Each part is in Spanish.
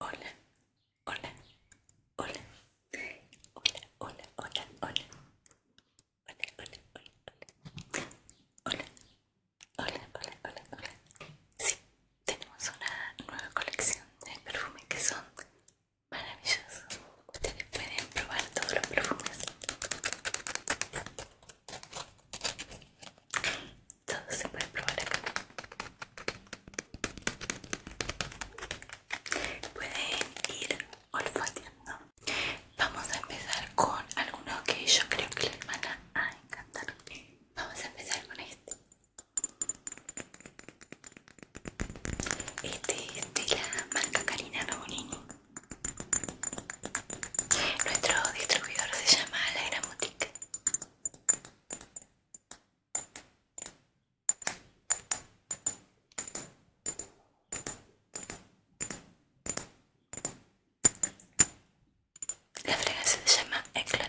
Hola, hola, hola, hola, hola, hola, hola, hola, hola, hola, hola, hola, hola, hola, hola, hola. Sí, tenemos una nueva colección de perfumes que son maravillosos. Ustedes pueden probar todos los perfumes. Todo se puede probar acá. Pueden ir olfateando. Vamos a empezar con alguno que yo creo que les van a encantar. Vamos a empezar con este. Este es de la marca Karina Nobonini nuestro distribuidor se llama La Gran La fragancia se llama Eclat.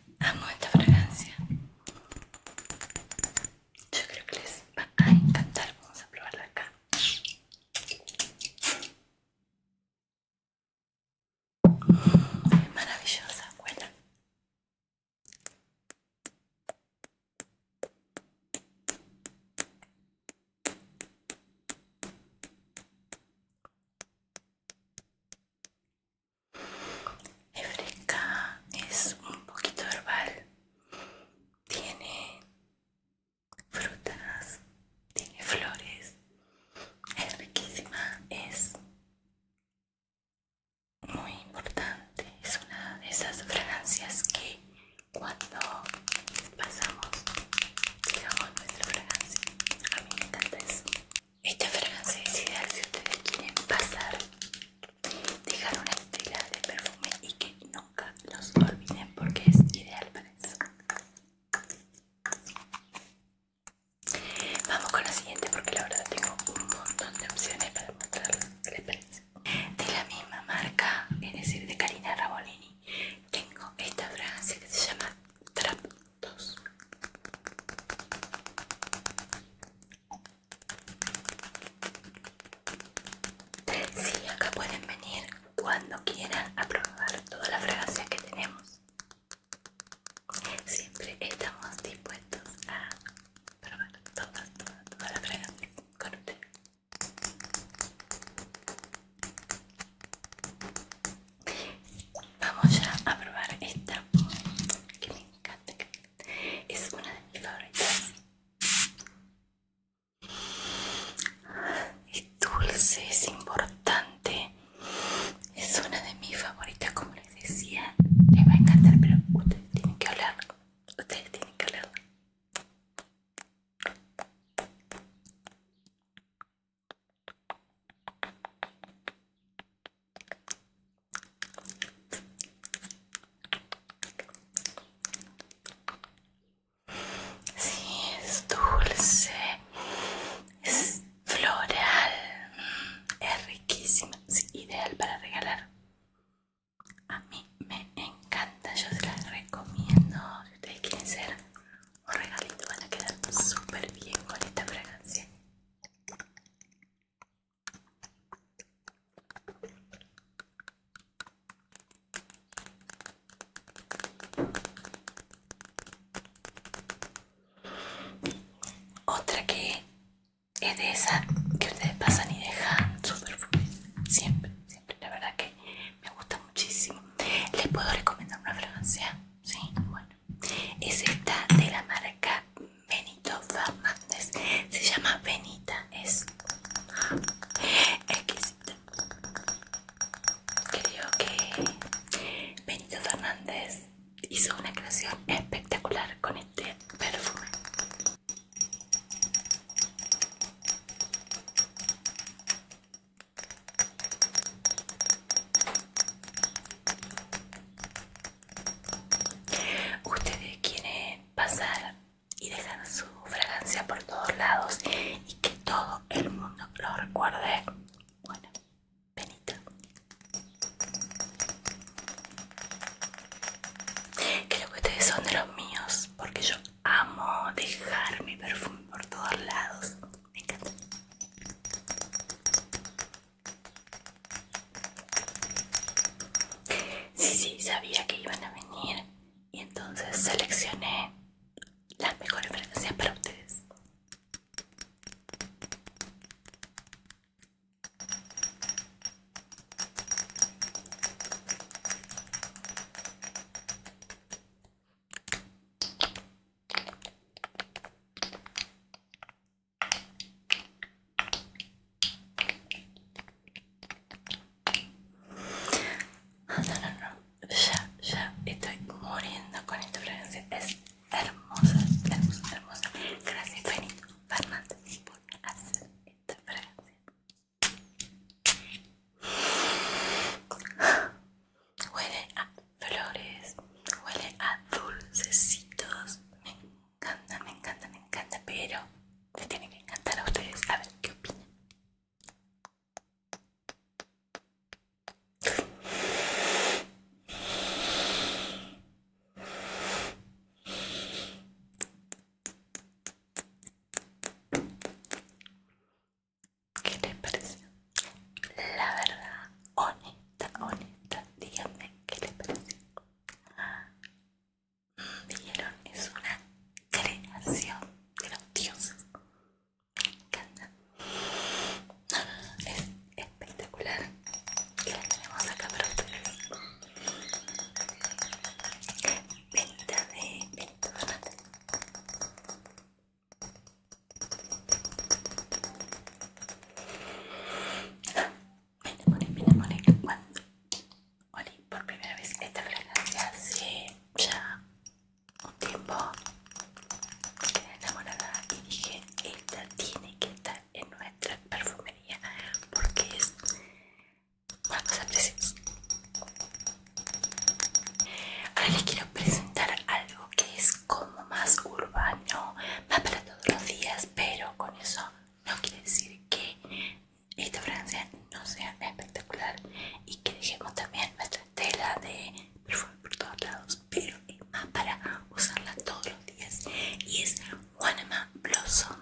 Amo esta fragancia. Yo creo que les va a encantar. Vamos a probarla acá. maravillosa, buena. EFREKA es un poquito herbal, tiene frutas, tiene flores, es riquísima, es muy importante, es una de esas fragancias que cuando pasamos, digamos nuestra fragancia, a mí me encanta eso. Esta fragancia es ideal si ustedes quieren pasar, dejar una estela de perfume y que nunca los olviden porque es ideal para eso. Vamos con la siguiente porque la verdad tengo un montón de opciones para mostrarles. ¿Qué les parece? De la misma marca, es decir, de Karina Rabolini, tengo esta fragancia que se llama Trap 2. Sí, acá pueden venir cuando quieran a probar todas las fragancias que tenemos. Siempre estamos dispuestos a probar todas, todas, todas las fragancias con ustedes Vamos ya a probar esta que me encanta es una de mis favoritas es dulce es importante es una de mis favoritas como les decía les va a encantar pero ustedes tienen que hablar ustedes tienen que hablar Sí, es dulce, es floral, mm, es riquísima, es ideal para regalar. A mí me encanta, yo se las recomiendo. Si ustedes quieren ser un regalito, van a quedar súper bien con esta fragancia. Otra que es de esa que ustedes pasan y dejan super siempre, siempre, la verdad que me gusta muchísimo. Les puedo recomendar una fragancia, sí, bueno, es esta de la marca Benito Fernández se llama Benita es exquisita creo que Benito Fernández hizo una creación espectacular con este perfume Ustedes quieren pasar y dejar su fragancia por todos lados y que todo el mundo lo recuerde. Bueno, venita. Creo que ustedes son de los míos porque yo amo dejar mi perfume por todos lados. Me encanta. Sí, sí, sabía que iban a venir y entonces seleccioné las mejores referencias para ustedes. No, no, no, ya, ya estoy muriendo con esta fragancia. Es hermosa, hermosa, hermosa. Gracias, Benito Fernández, por hacer esta fragancia. Huele a flores, huele a dulcecitos. Me encanta, me encanta, me encanta, pero les tiene que encantar a ustedes. A ver, ¿qué opinan? ¿Qué les pareció? La verdad, honesta, honesta, díganme qué les pareció. Vieron, es una creación de los dioses. Me encanta. Es espectacular. Y la tenemos acá para ustedes. Venta de Benito me enamoré, me enamoré cuando olí por primera vez esta fragancia hace ya un tiempo. Quedé enamorada y dije, esta tiene que estar en nuestra perfumería porque es una cosa preciosa. Ahora les quiero presentar algo que es como más urbano, más para todos los días, pero con eso no quiere decir que esta Francia no sea espectacular y que dejemos también nuestra tela de perfume por todos lados, pero más para usarla todos los días y es guanama Blossom.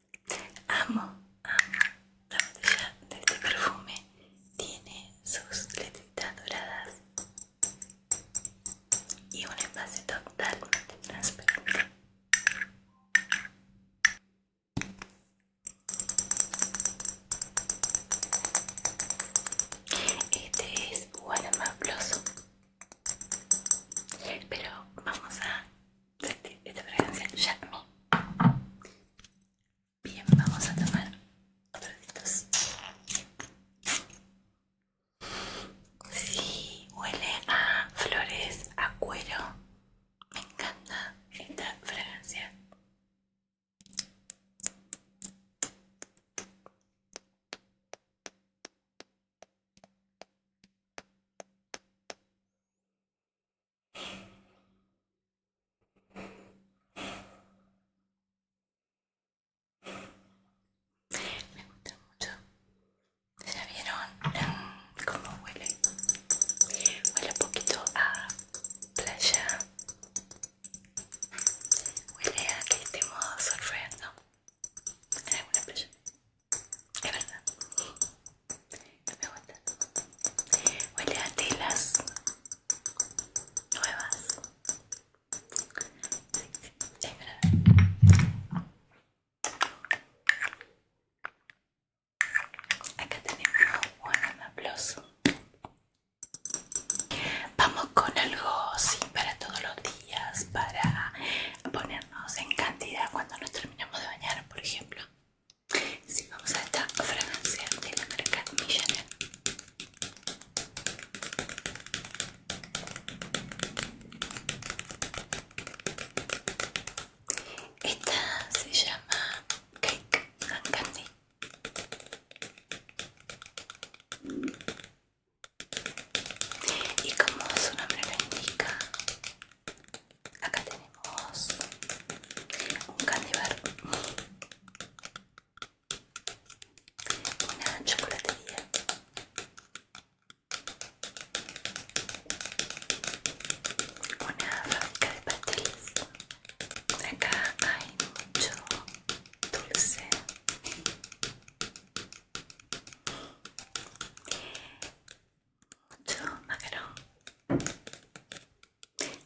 Amo, amo la botella de este perfume. Tiene sus letritas doradas y un espacio totalmente transparente. Este es Guanama Blossom, pero vamos a esta fragancia ME Bien, vamos a tomar otros estos. Sí, huele a flores, a cuero. Me encanta esta fragancia. Me gusta mucho. ¿Ya vieron cómo huele? Huele un poquito a playa. Huele a que estemos surfeando en alguna playa. Es verdad. me gusta. Huele a telas nuevas. es verdad. Acá tenemos un aplauso. Vamos con algo así para todos los días, para ponernos en cantidad cuando nos terminemos de bañar, por ejemplo si, vamos a esta fragancia de la marca Esta se llama Cake and Candy. Y como su nombre lo indica, acá tenemos un candibar una chocolatería una fábrica de pasteles acá hay mucho dulce mucho ah, macarón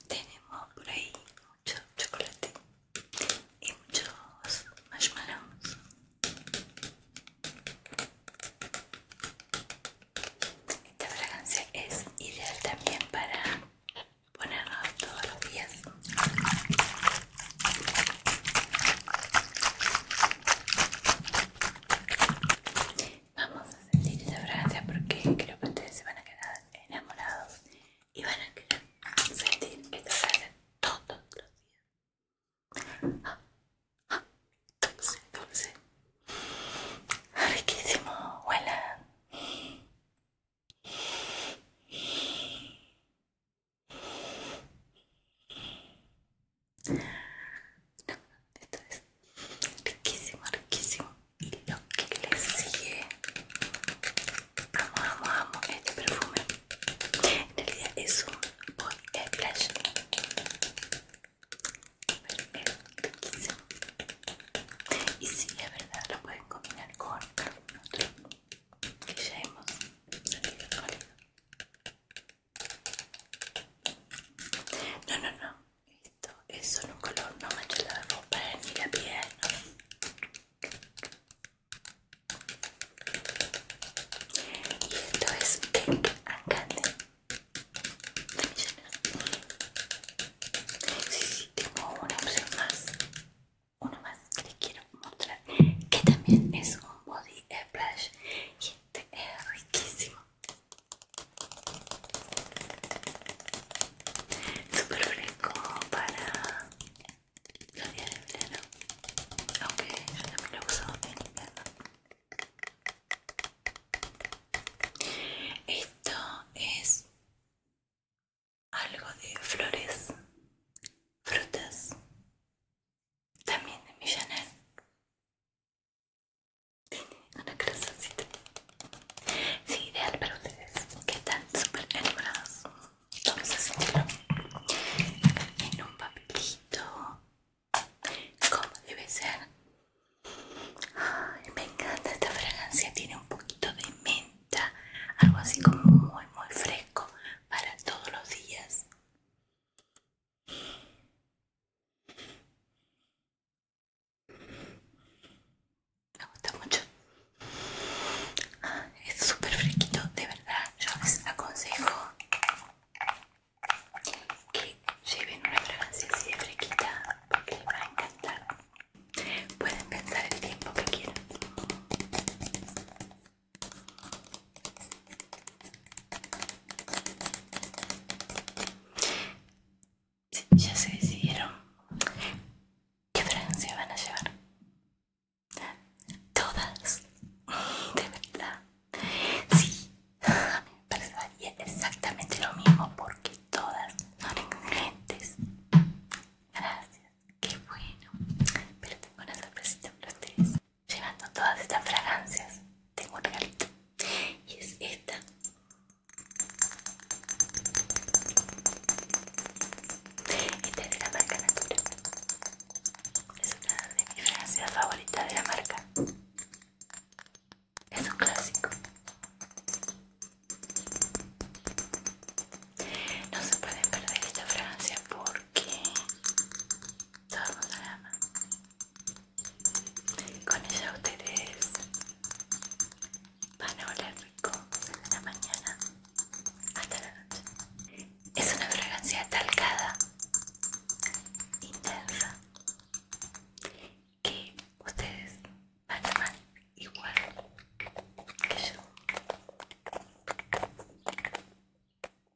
tenemos por ahí mucho chocolate y muchos marshmallows esta fragancia es ideal también para ponerla todos los días Vamos a sentir esa fragancia porque creo que ustedes se van a quedar enamorados y van a querer sentir esta fragancia todos los días. Ah, ah, dulce, dulce. Riquísimo, huela. No, esto es riquísimo, riquísimo. Y lo que le sigue. Amo, amo, amo este perfume. En realidad es un boy splash. Pero es riquísimo. Y si es verdad, lo pueden combinar con algún otro que ya hemos salido con no, no, no. Esto es solo un color, no hecho la ropa ni la piel, Y esto es Pink and Candy. Sí, sí, tengo una opción más. Uno más que les quiero mostrar. Que también es un body splash. Y este es riquísimo. Súper fresco para los días de verano. Aunque yo también lo uso en invierno. Esto es algo de flores, frutas, también de Millanel. Tiene una Sí, ideal para ustedes que están súper enamorados. Vamos a hacerlo en un papelito. Como debe ser. me encanta esta fragancia. Tiene un poquito de menta. Algo así como muy, muy fresco para todos los días. Me gusta mucho. Ah, es súper fresquito, de verdad. Yo les aconsejo que lleven una fragancia así de fresquita porque les va a encantar. Pueden pensar el tiempo que quieran ya se decidieron qué fragancia van a llevar. Todas, de verdad. Sí, a mí me parecería exactamente lo mismo porque todas son excelentes. Gracias, qué bueno. Pero tengo una sorpresita para ustedes llevando todas estas fragancias tengo un regalito y es esta esta es de la marca Natura es una de mis fragancias favoritas de la marca es un clásico no se pueden perder esta fragancia porque todo Con ella ustedes van a oler rico desde la mañana hasta la noche. Es una fragancia talcada, intensa, que ustedes van a amar igual que yo.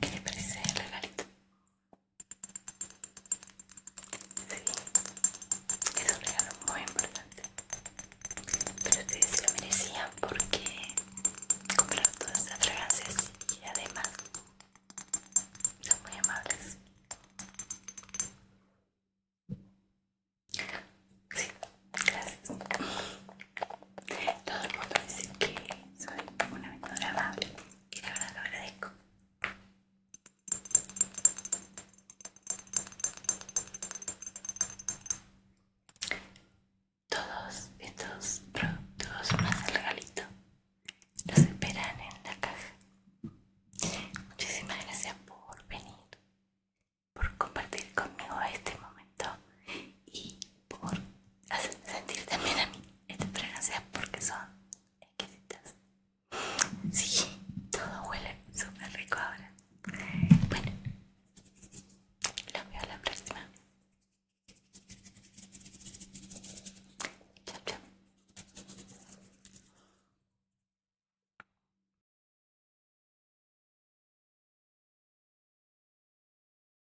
¿Qué le parece el regalito? Sí, es un regalo muy importante. Pero ustedes lo merecían porque compraron todas estas fragancias y además son muy amables. Sí, gracias. Todo el mundo dice que soy una mentora amable y la verdad lo agradezco. Todos estos productos más el regalito los esperan en la caja. Muchísimas gracias por venir, por compartir conmigo este momento y por hacerme sentir también a mí estas fragancias porque son exquisitas. Sí, todo huele súper rico ahora. Bueno, los veo la próxima. Chao, chao.